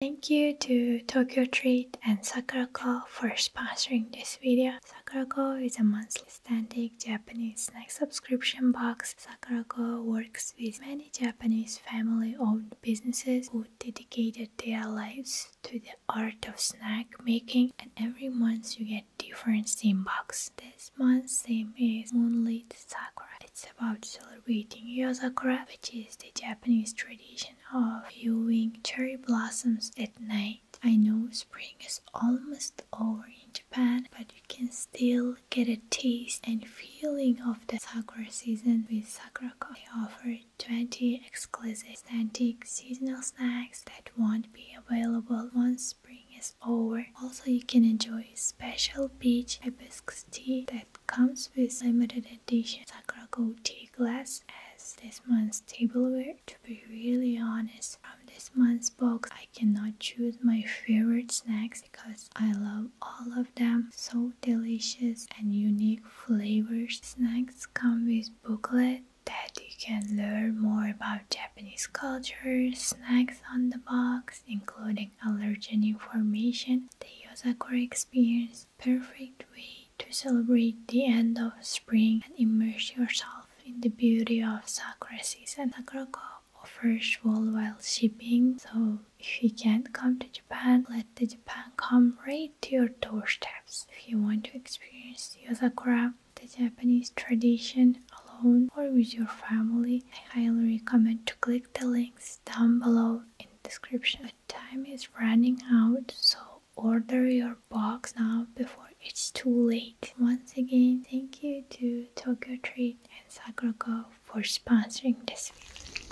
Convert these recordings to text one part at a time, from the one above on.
Thank you to Tokyo Treat and Sakura Sakurako for sponsoring this video. Sakura Sakurako is a monthly standing Japanese snack subscription box. Sakura Sakurako works with many Japanese family-owned businesses who dedicated their lives to the art of snack making and every month you get different theme box. This month theme is Moonlit Sakura. It's about celebrating Yozakura, which is the Japanese tradition of viewing cherry blossoms at night. I know spring is almost over in Japan, but you can still get a taste and feeling of the sakura season with Sakurako. They offer 20 exclusive authentic seasonal snacks that won't be available once spring is over. Also, you can enjoy special peach hibiscus tea that it comes with limited edition Sakura Gold tea glass as this month's tableware. To be really honest, from this month's box I cannot choose my favorite snacks because I love all of them. So delicious and unique flavors. Snacks come with booklet that you can learn more about Japanese culture, snacks on the box, including allergen information, the Yosakura experience, perfect way to celebrate the end of spring and immerse yourself in the beauty of sakura season. Sakurako offers worldwide shipping, so if you can't come to Japan, let the Japan come right to your doorsteps. If you want to experience Yosakura, the Japanese tradition alone or with your family, I highly recommend to click the links down below in description time is running out, so order your box now before it's too late. Once again, thank you to Tokyo Treat and Sakurako for sponsoring this video.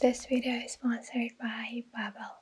This video is sponsored by Babbel.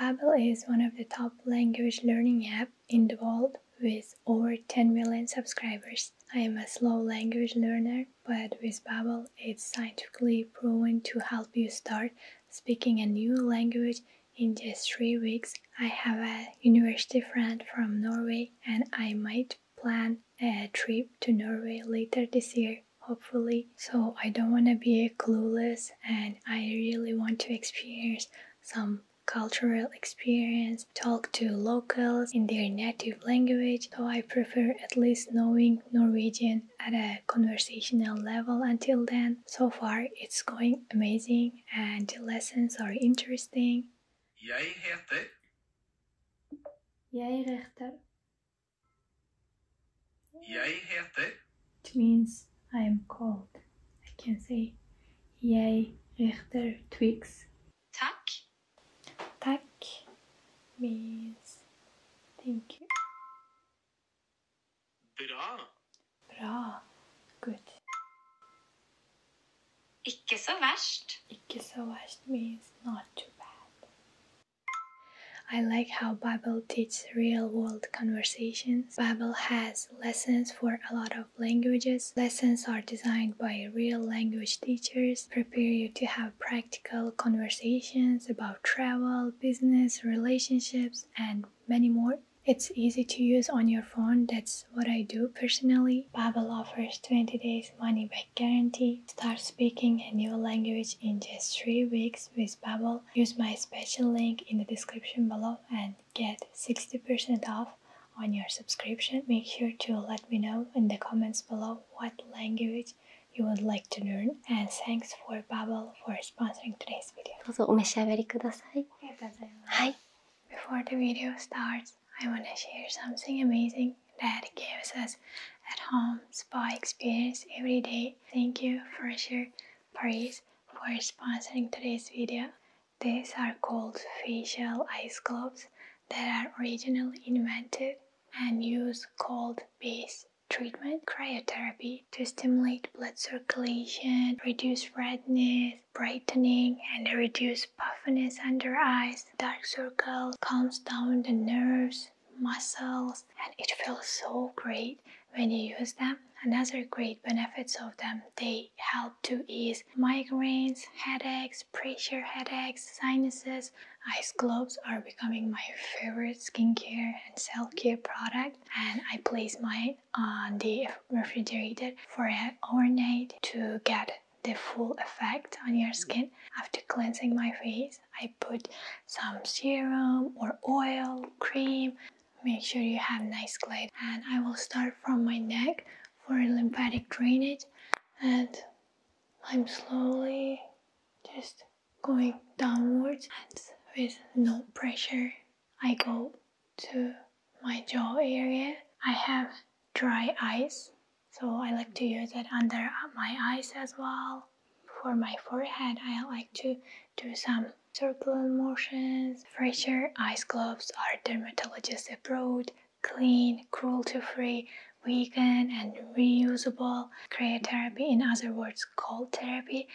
Babbel is one of the top language learning apps in the world with over 10 million subscribers. I am a slow language learner but with Babbel it's scientifically proven to help you start speaking a new language in just 3 weeks. I have a university friend from Norway and I might plan a trip to Norway later this year hopefully. So I don't want to be clueless and I really want to experience some cultural experience, talk to locals in their native native language, though I prefer at least knowing Norwegian at a conversational level until then. So far, it's going amazing and the lessons are interesting. Jeg heter. Jeg heter. Jeg heter. It means I am called. I can say Jeg heter Twix. Tack. Tack means thank you. Bra. Bra. Good. Ikke så verst. Ikke så verst means not too bad. I like how Bible teaches real world conversations. Bible has lessons for a lot of languages. Lessons are designed by real language teachers prepare you to have practical conversations about travel, business, relationships, and many more. It's easy to use on your phone. That's what I do personally. Babbel offers 20 days money back guarantee. Start speaking a new language in just 3 weeks with Babbel. Use my special link in the description below and get 60% off on your subscription. Make sure to let me know in the comments below what language you would like to learn and thanks for Babbel for sponsoring today's video. before the video starts, I want to share something amazing that gives us at-home spa experience every day. Thank you for sure, Paris, for sponsoring today's video. These are called facial ice globes that are originally invented and use cold based treatment, cryotherapy, to stimulate blood circulation, reduce redness, brightening, and reduce puffiness under eyes, dark circles, calms down the nerves, muscles, and it feels so great when you use them. Another great benefits of them, they help to ease migraines, headaches, pressure headaches, sinuses. Ice globes are becoming my favorite skincare and self-care product and I place mine on the refrigerator for overnight to get the full effect on your skin. After cleansing my face, I put some serum or oil, cream. Make sure you have nice glide and I will start from my neck for lymphatic drainage and I'm slowly just going downwards and with no pressure I go to my jaw area. I have dry eyes so I like to use it under my eyes as well. For my forehead I like to do some circular motions. Fresher ice gloves or dermatologist approved clean, cruelty-free, vegan and reusable cryotherapy, in other words cold therapy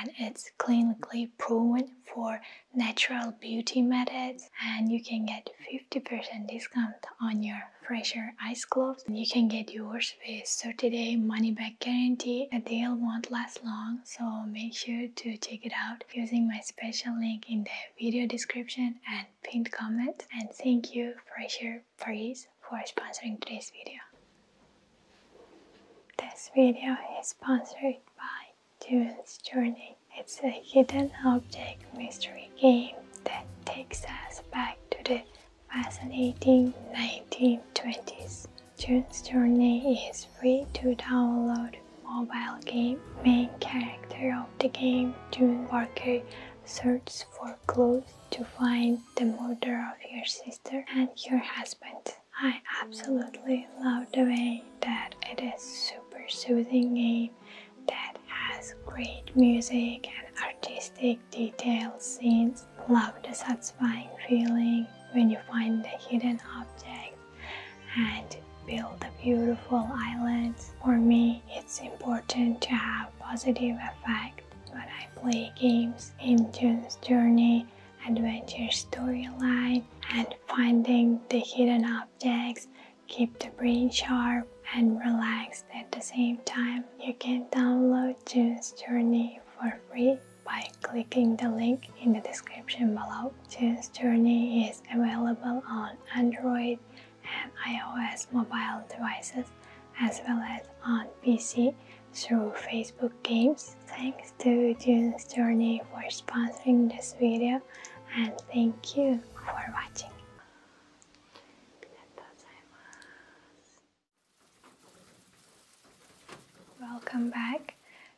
and it's clinically proven for natural beauty methods and you can get 50% discount on your fresher ice gloves. You can get yours with 30 day money back guarantee. The deal won't last long so make sure to check it out using my special link in the video description and Pin pinned comment and thank you for your praise for sponsoring today's video. This video is sponsored by June's Journey. It's a hidden object mystery game that takes us back to the fascinating 1920s. June's Journey is free to download mobile game main character of the game, June Parker, searches for clues to find the murder of your sister and your husband. I absolutely love the way that it is super soothing game that has great music and artistic detailed scenes. Love the satisfying feeling when you find the hidden object and build a beautiful island. For me, it's important to have positive effect when I play games in June's Journey, Adventure Storyline, and finding the hidden objects keep the brain sharp and relaxed at the same time. You can download *Tune's Journey for free by clicking the link in the description below. *Tune's Journey is available on Android and iOS mobile devices as well as on PC through Facebook Games. Thanks to June's Journey for sponsoring this video and thank you for watching. Welcome back.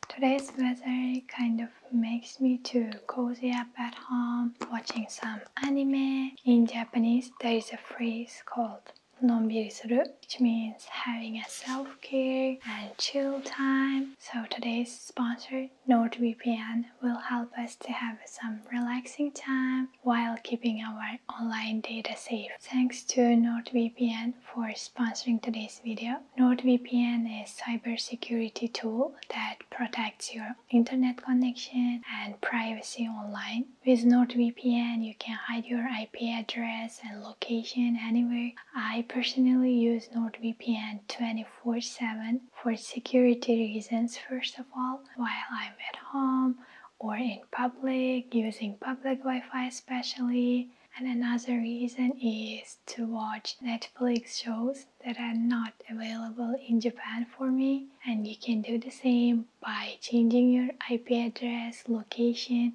Today's weather kind of makes me to cozy up at home watching some anime. In Japanese, there is a phrase called nonbiri suru, which means having a self-care and chill time. So today's sponsor, NordVPN, will help us to have some relaxing time while keeping our online data safe. Thanks to NordVPN for sponsoring today's video. NordVPN is a cybersecurity tool that protects your internet connection and privacy online. With NordVPN, you can hide your IP address and location anywhere. I personally use NordVPN 24 7 for security reasons, first of all, while I'm at home or in public, using public Wi Fi especially. And another reason is to watch Netflix shows that are not available in Japan for me and you can do the same by changing your IP address, location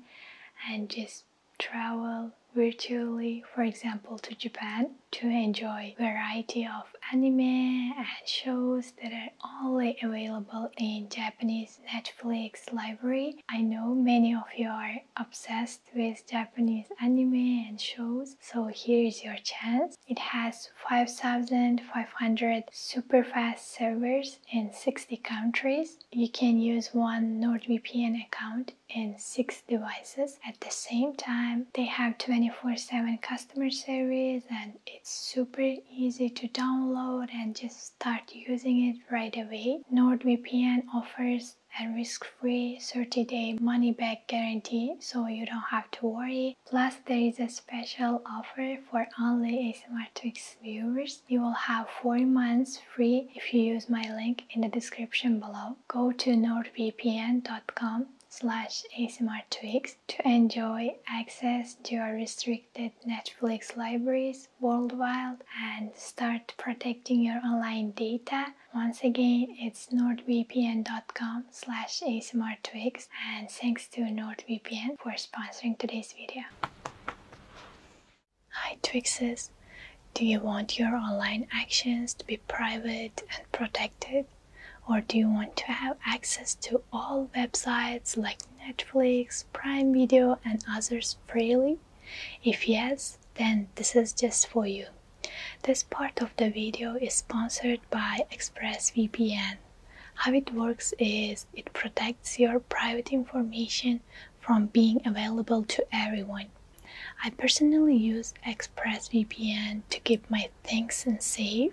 and just travel virtually for example to Japan to enjoy variety of anime and shows that are only available in Japanese Netflix library. I know many of you are obsessed with Japanese anime and shows, so here is your chance. It has 5,500 super fast servers in 60 countries. You can use one NordVPN account in six devices at the same time. They have 24 7 customer service and it's super easy to download and just start using it right away. NordVPN offers has a risk-free 30-day money-back guarantee so you don't have to worry. Plus there is a special offer for only ASMR Asymmetrics viewers. You will have 4 months free if you use my link in the description below. Go to nordvpn.com slash asmrtwix to enjoy access to our restricted Netflix libraries worldwide and start protecting your online data once again, it's nordvpn.com slash asmrtwigs and thanks to NordVPN for sponsoring today's video. Hi Twixes! Do you want your online actions to be private and protected? Or do you want to have access to all websites like Netflix, Prime Video, and others freely? If yes, then this is just for you. This part of the video is sponsored by ExpressVPN. How it works is it protects your private information from being available to everyone. I personally use ExpressVPN to keep my things safe.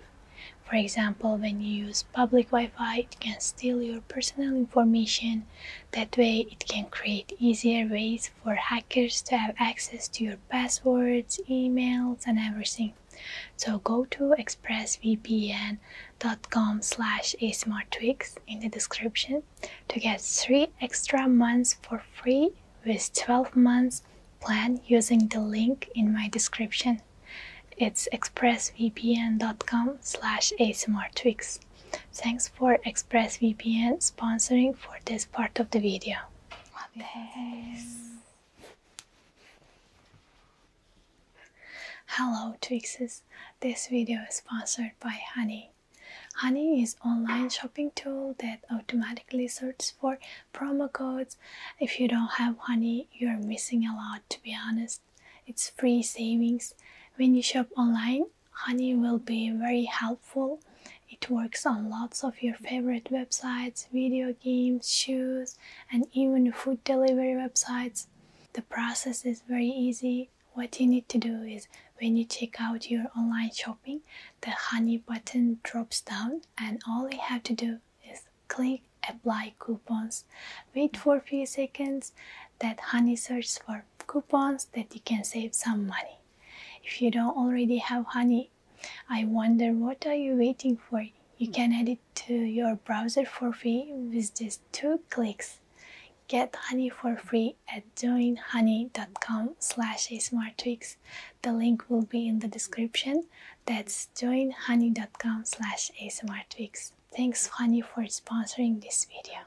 For example, when you use public Wi-Fi, it can steal your personal information. That way, it can create easier ways for hackers to have access to your passwords, emails, and everything. So go to expressvpn.com slash asmartweeks in the description to get three extra months for free with 12 months plan using the link in my description. It's expressvpn.com slash asmartweeks. Thanks for ExpressVPN sponsoring for this part of the video. Yes. Hello Twixes, this video is sponsored by Honey. Honey is online shopping tool that automatically searches for promo codes. If you don't have Honey, you're missing a lot to be honest. It's free savings. When you shop online, honey will be very helpful it works on lots of your favorite websites video games shoes and even food delivery websites the process is very easy what you need to do is when you check out your online shopping the honey button drops down and all you have to do is click apply coupons wait for a few seconds that honey searches for coupons that you can save some money. If you don't already have honey, I wonder what are you waiting for? You can add it to your browser for free with just two clicks. Get honey for free at joinhoney.com slash asmartweeks. The link will be in the description. That's joinhoney.com slash asmartweeks. Thanks honey for sponsoring this video.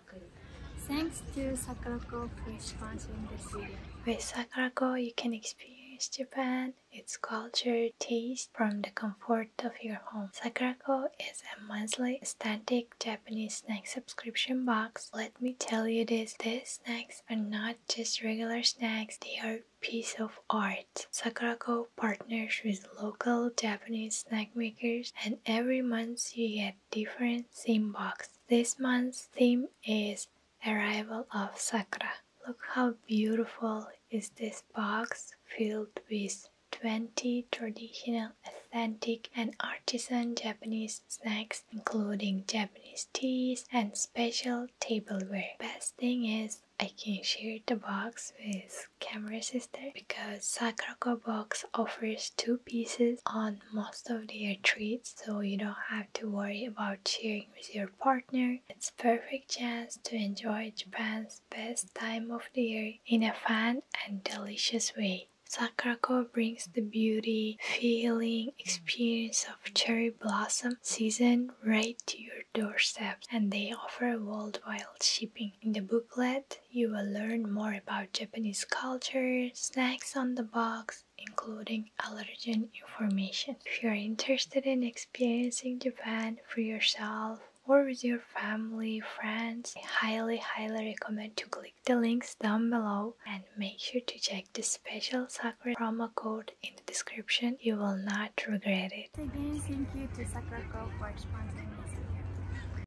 Thanks to Sakurako for sponsoring this video. With Sakurako, you can experience Japan, its culture, taste from the comfort of your home. Sakurako is a monthly static Japanese snack subscription box. Let me tell you this, these snacks are not just regular snacks, they are piece of art. Sakurako partners with local Japanese snack makers and every month you get different theme box. This month's theme is Arrival of Sakura. Look how beautiful is this box filled with 20 traditional, authentic, and artisan Japanese snacks, including Japanese teas and special tableware. Best thing is, I can share the box with camera sister because Sakura circle box offers two pieces on most of their treats, so you don't have to worry about sharing with your partner. It's perfect chance to enjoy Japan's best time of the year in a fun and delicious way. Sakurako brings the beauty, feeling, experience of cherry blossom season right to your doorstep, and they offer worldwide shipping. In the booklet, you will learn more about Japanese culture, snacks on the box, including allergen information. If you are interested in experiencing Japan for yourself or with your family, friends, I highly, highly recommend to click the links down below and make sure to check the special Sakura promo code in the description. You will not regret it. Again, thank you to Sakura for sponsoring this video.